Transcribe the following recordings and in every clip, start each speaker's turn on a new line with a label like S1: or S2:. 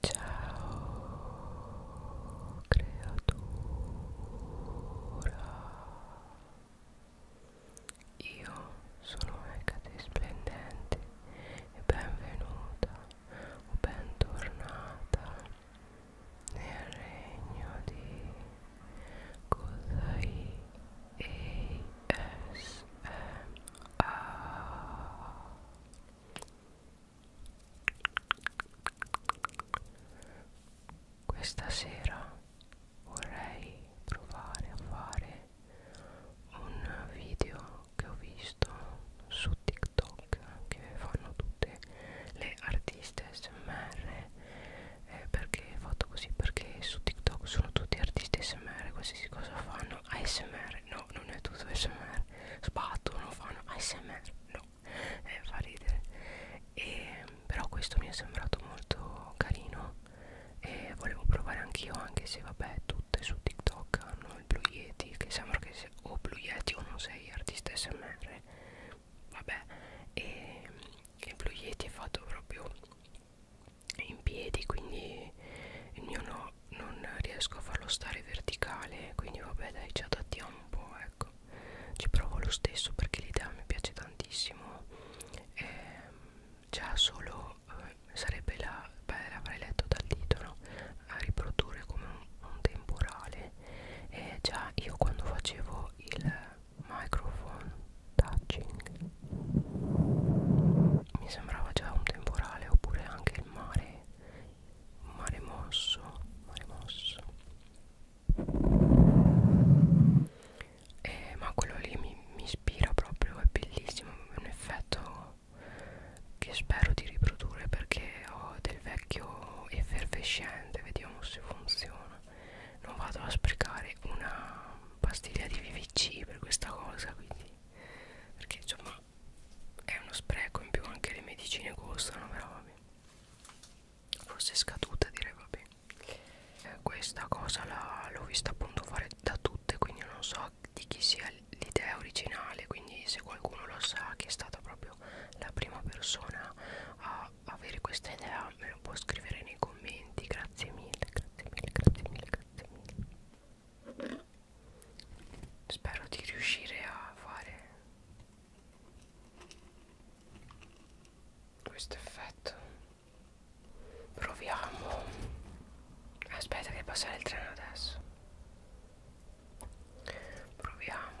S1: Ciao creatura Io sono Hecate Splendente e benvenuta o bentornata nel regno di Kozai ASMR questa sera vorrei provare a fare un video che ho visto su TikTok che fanno tutte le artiste SMR eh, perché ho fatto così perché su TikTok sono tutti artisti SMR qualsiasi cosa fanno ASMR ASMR no non è tutto ASMR sbattono fanno ASMR no eh, fa ridere e, ehm, però questo mi è sembrato molto carino e volevo provare anch'io anche se vabbè tutte su TikTok hanno il Blue Yeti che sembra che se, o Blue Yeti o non sei artista SMR vabbè e ehm, il Blue Yeti è fatto proprio in piedi quindi il mio no non riesco a farlo stare verticale quindi vabbè dai ci adattiamo un po' ecco ci provo lo stesso perché l'idea mi piace tantissimo e ehm, già solo eh, sarebbe la beh l'avrei letto dal titolo a riprodurre come un, un temporale e già io quando facevo il microphone touching mi sembrava già un temporale oppure anche il mare mare mosso mare mosso eh, ma quello lì mi, mi ispira proprio è bellissimo è un effetto che spero di riprodurre perché ho del vecchio effervescente vediamo se funziona non vado a sprecare una pastiglia di VVC per questa cosa quindi perché insomma è uno spreco in più anche le medicine costano però vabbè forse è scaduta direi vabbè eh, questa cosa l'ho vista appunto fare da tutte quindi non so di chi sia l'idea originale quindi se qualcuno lo sa che è stata proprio la prima persona a avere questa idea me lo può scrivere nei commenti grazie mille grazie mille grazie mille grazie mille spero di riuscire a fare questo effetto proviamo aspetta che passa il treno adesso proviamo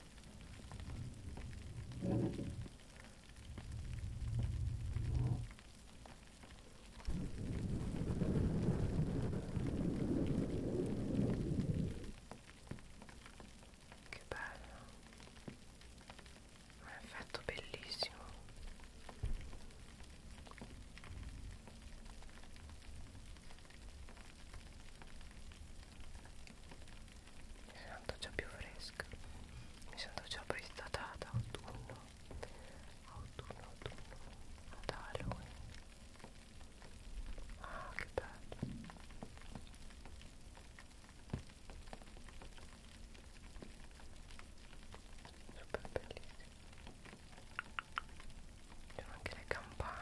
S1: Che bello, un effetto bellissimo mi sento già più fresca mi sento già prestata ad autunno autunno autunno ad Halloween ah che bello super bellissimo c'è anche le campane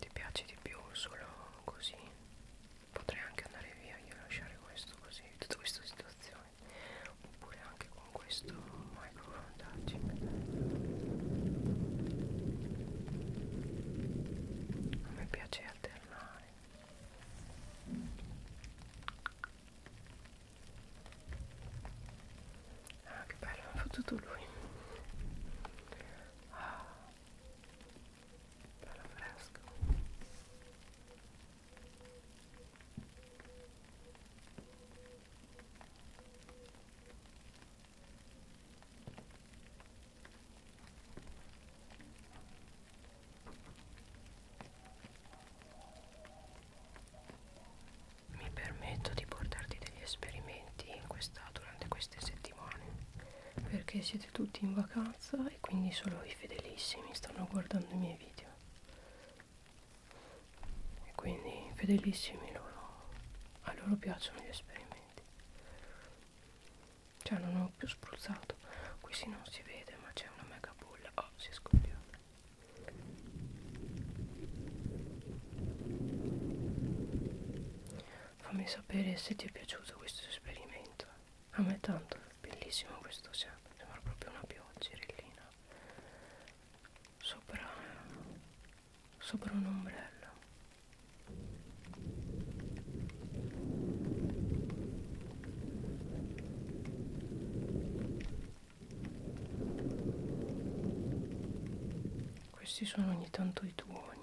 S1: ti piace di più solo così potrei anche andare via io lasciare questo così tutta questa situazione oppure anche con questo microphone touching a me piace alternare Ah, che bello, mi ha fottuto lui. Ah, bello fresco mi permetto di portarti degli esperimenti in questa, durante queste settimane perché siete tutti in vacanza e quindi solo i fedelissimi stanno guardando i miei video e quindi fedelissimi loro a loro piacciono gli esperimenti cioè non ho più spruzzato qui si non si vede ma c'è una mega bulla oh si è scoppiata fammi sapere se ti è piaciuto questo esperimento a me tanto è bellissimo questo sempre sembra proprio una pioggerellina sopra sopra un ombrello questi sono ogni tanto i tuoni.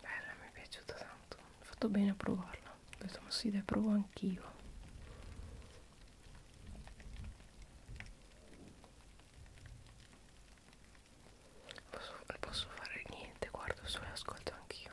S1: Bella, mi è piaciuta tanto. Ho fatto bene a provarla. Ho detto, ma sì, dai, provo anch'io. Non posso, posso fare niente, guardo solo e ascolto anch'io.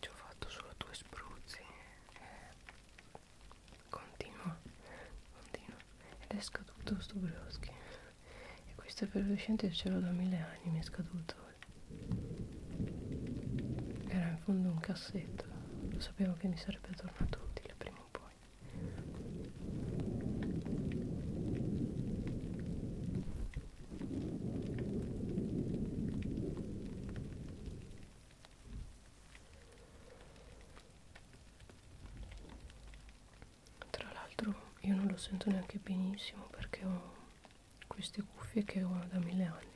S1: Ci ho fatto solo due spruzzi e eh, continua, continua ed è scaduto sto broschi e questo effervescente ce l'ho da mille anni, mi è scaduto era in fondo un cassetto tanto lo sapevo che mi sarebbe tornato utile prima o poi tra l'altro io non lo sento neanche benissimo perché ho queste cuffie che ho da mille anni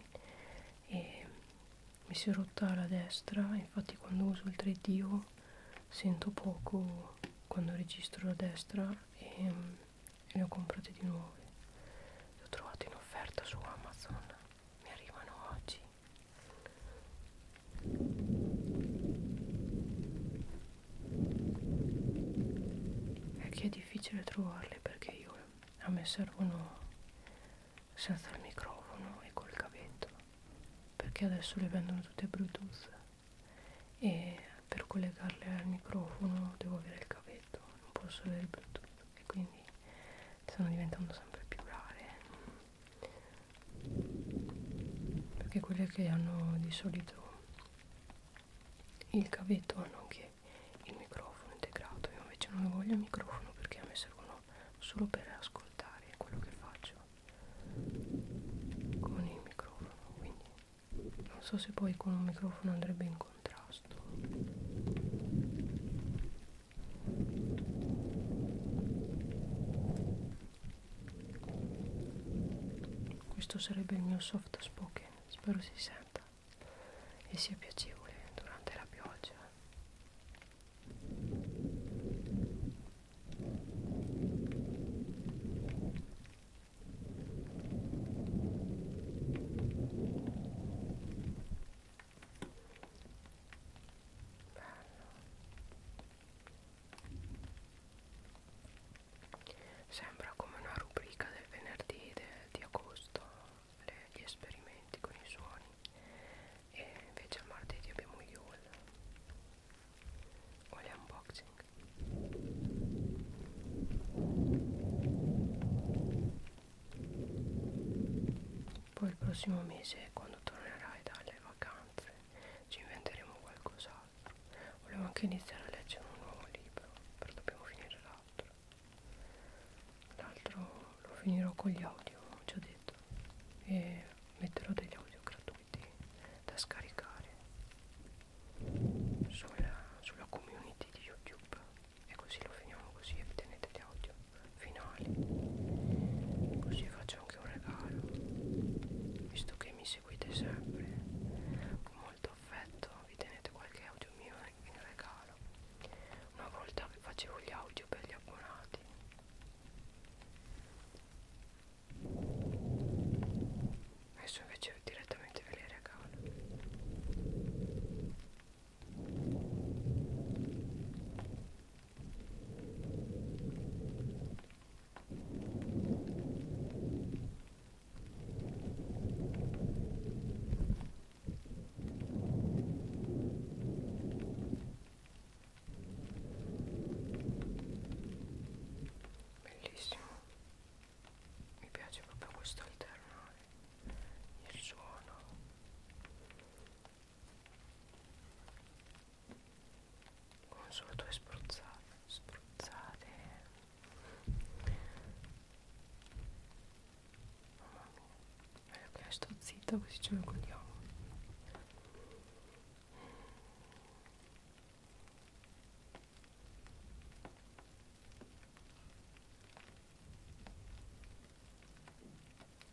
S1: e mi si è rotta la destra infatti quando uso il 3D sento poco quando registro la destra e, mm, e ne ho comprate di nuove le ho trovate in offerta su Amazon mi arrivano oggi è che è difficile trovarle perché io a me servono senza il microfono e col cavetto perché adesso le vendono tutte bluetooth e per collegarle al microfono devo avere il cavetto non posso avere il bluetooth e quindi stanno diventando sempre più rare perché quelle che hanno di solito il cavetto hanno anche anche il microfono integrato io invece non voglio il microfono perché a me servono solo per ascoltare quello che faccio con il microfono quindi non so se poi con un microfono andrebbe in contrasto questo sarebbe il mio soft spoken spero si senta e sia piacevole durante la pioggia. Bello. Sembra come una rubrica del venerdì de, di agosto le, gli esperimenti con i suoni e invece il martedì abbiamo gli haul o le unboxing poi il prossimo mese quando tornerai dalle vacanze ci inventeremo qualcos'altro volevo anche iniziare a leggere un nuovo libro però dobbiamo finire l'altro l'altro lo finirò con gli audio ci ho detto e metterò degli audio gratuiti da scaricare sulla, sulla community di youtube e così lo finiamo così e vi tenete gli audio finali così faccio anche un regalo visto che mi seguite sempre con molto affetto vi tenete qualche audio mio genere in regalo una volta che facevo gli audio per gli abbonati adesso invece direttamente ve li regalo Bellissimo. Mi piace proprio questo alternare il suono. Con solo due spruzzate, spruzzate Mamma mia. Ok, sto zitta così ce lo godiamo.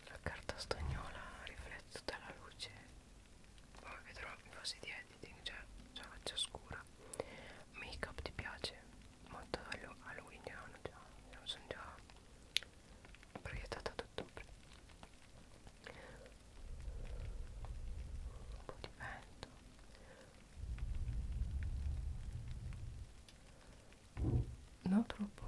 S1: La carta stagnola riflette tutta la luce, poi vedrò in fase di editing, cioè già faccia scura. Make up ti piace? molto Halloween hanno già, hanno sono già proiettata ad ottobre un po' di vento no troppo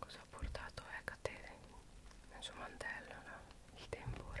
S1: Cosa ha portato Ecate eh, nel suo mantello? No? Il temporale.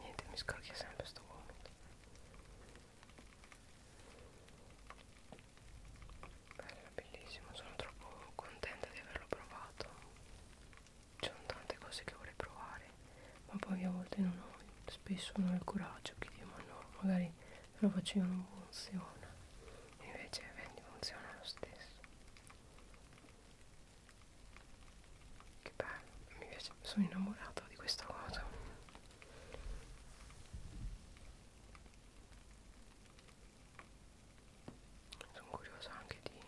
S1: Niente, mi scorchia sempre sto vomito. Bello, bellissimo, sono troppo contenta di averlo provato. Ci sono tante cose che vorrei provare, ma poi a volte non ho, spesso non ho il coraggio, che dico ma no, magari lo faccio io non funziona. Invece vendi funziona lo stesso. Che bello, mi piace, sono innamorata di questa cosa. Sono curiosa anche di,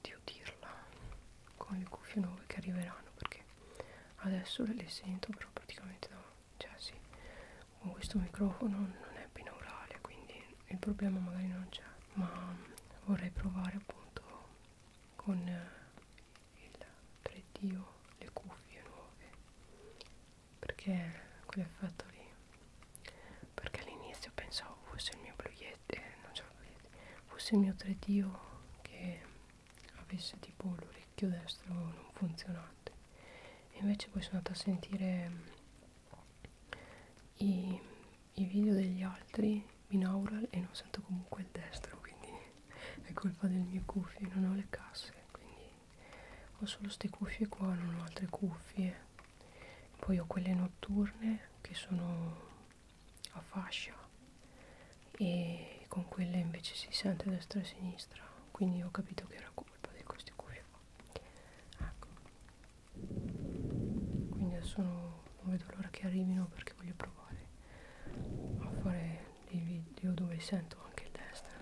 S1: di udirla con le cuffie nuove che arriveranno perché adesso le sento però praticamente no. Cioè sì, con questo microfono non è binaurale quindi il problema magari non c'è ma vorrei provare appunto con eh, il 3D o le cuffie nuove perché quell'effetto lì perché all'inizio pensavo fosse il mio blu eh, non c'è fosse il mio 3D che avesse tipo l'orecchio destro non funzionante e invece poi sono andata a sentire mm, i i video degli altri binaural e non sento comunque il destro quindi è colpa del mio cuffie non ho le casse quindi ho solo queste cuffie qua non ho altre cuffie poi ho quelle notturne che sono a fascia e con quelle invece si sente destra e sinistra quindi ho capito che era colpa di queste cuffie qua ecco quindi adesso non, non vedo l'ora che arrivino perché voglio provare a fare dei video dove sento anche il destro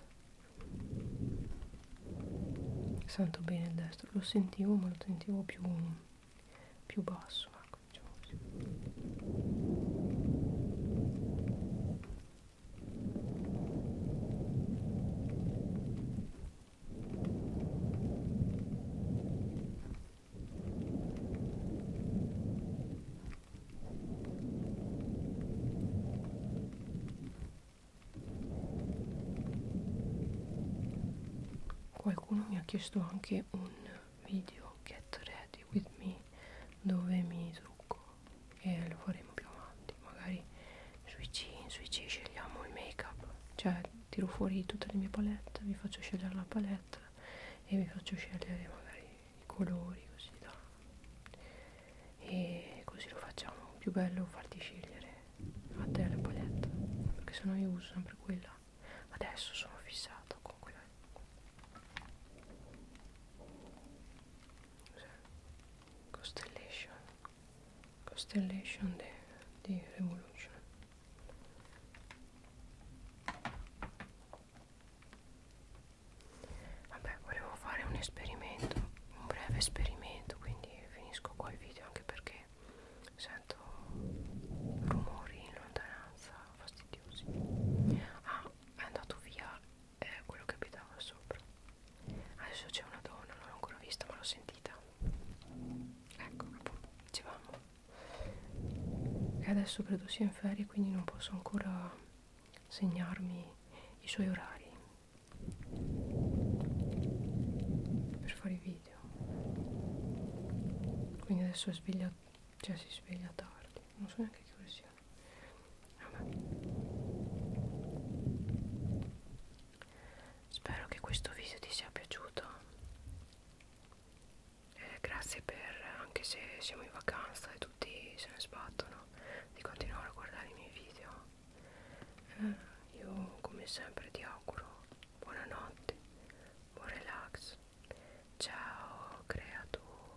S1: sento bene il destro lo sentivo ma lo sentivo più, più basso ecco diciamo così Qualcuno mi ha chiesto anche un video get ready with me dove mi trucco e lo faremo più avanti effetti magari sui C, sui C scegliamo il make up cioè tiro fuori tutte le mie palette vi faccio scegliere la palette e vi faccio scegliere magari i colori così da e così lo facciamo più bello farti scegliere a te la palette perché sennò io uso sempre quella adesso sono fissata con quella Costellation Constellation di Revolution Vabbè, volevo fare un esperimento, un breve esperimento, quindi finisco qua il video anche perché sento rumori in lontananza fastidiosi. Ah, è andato via eh, quello che abitava sopra adesso c'è una donna non l'ho ancora vista ma l'ho sentita ecco dicevamo e adesso credo sia in ferie quindi non posso ancora segnarmi i suoi orari per fare i video quindi adesso sveglia cioè si sveglia tardi non so neanche che ore siano vabbè spero che questo video ti sia piaciuto eh, grazie per anche se siamo in vacanza e tutti se ne sbattono di continuare a guardare i miei video eh, io come sempre ti auguro buonanotte buon relax ciao creatura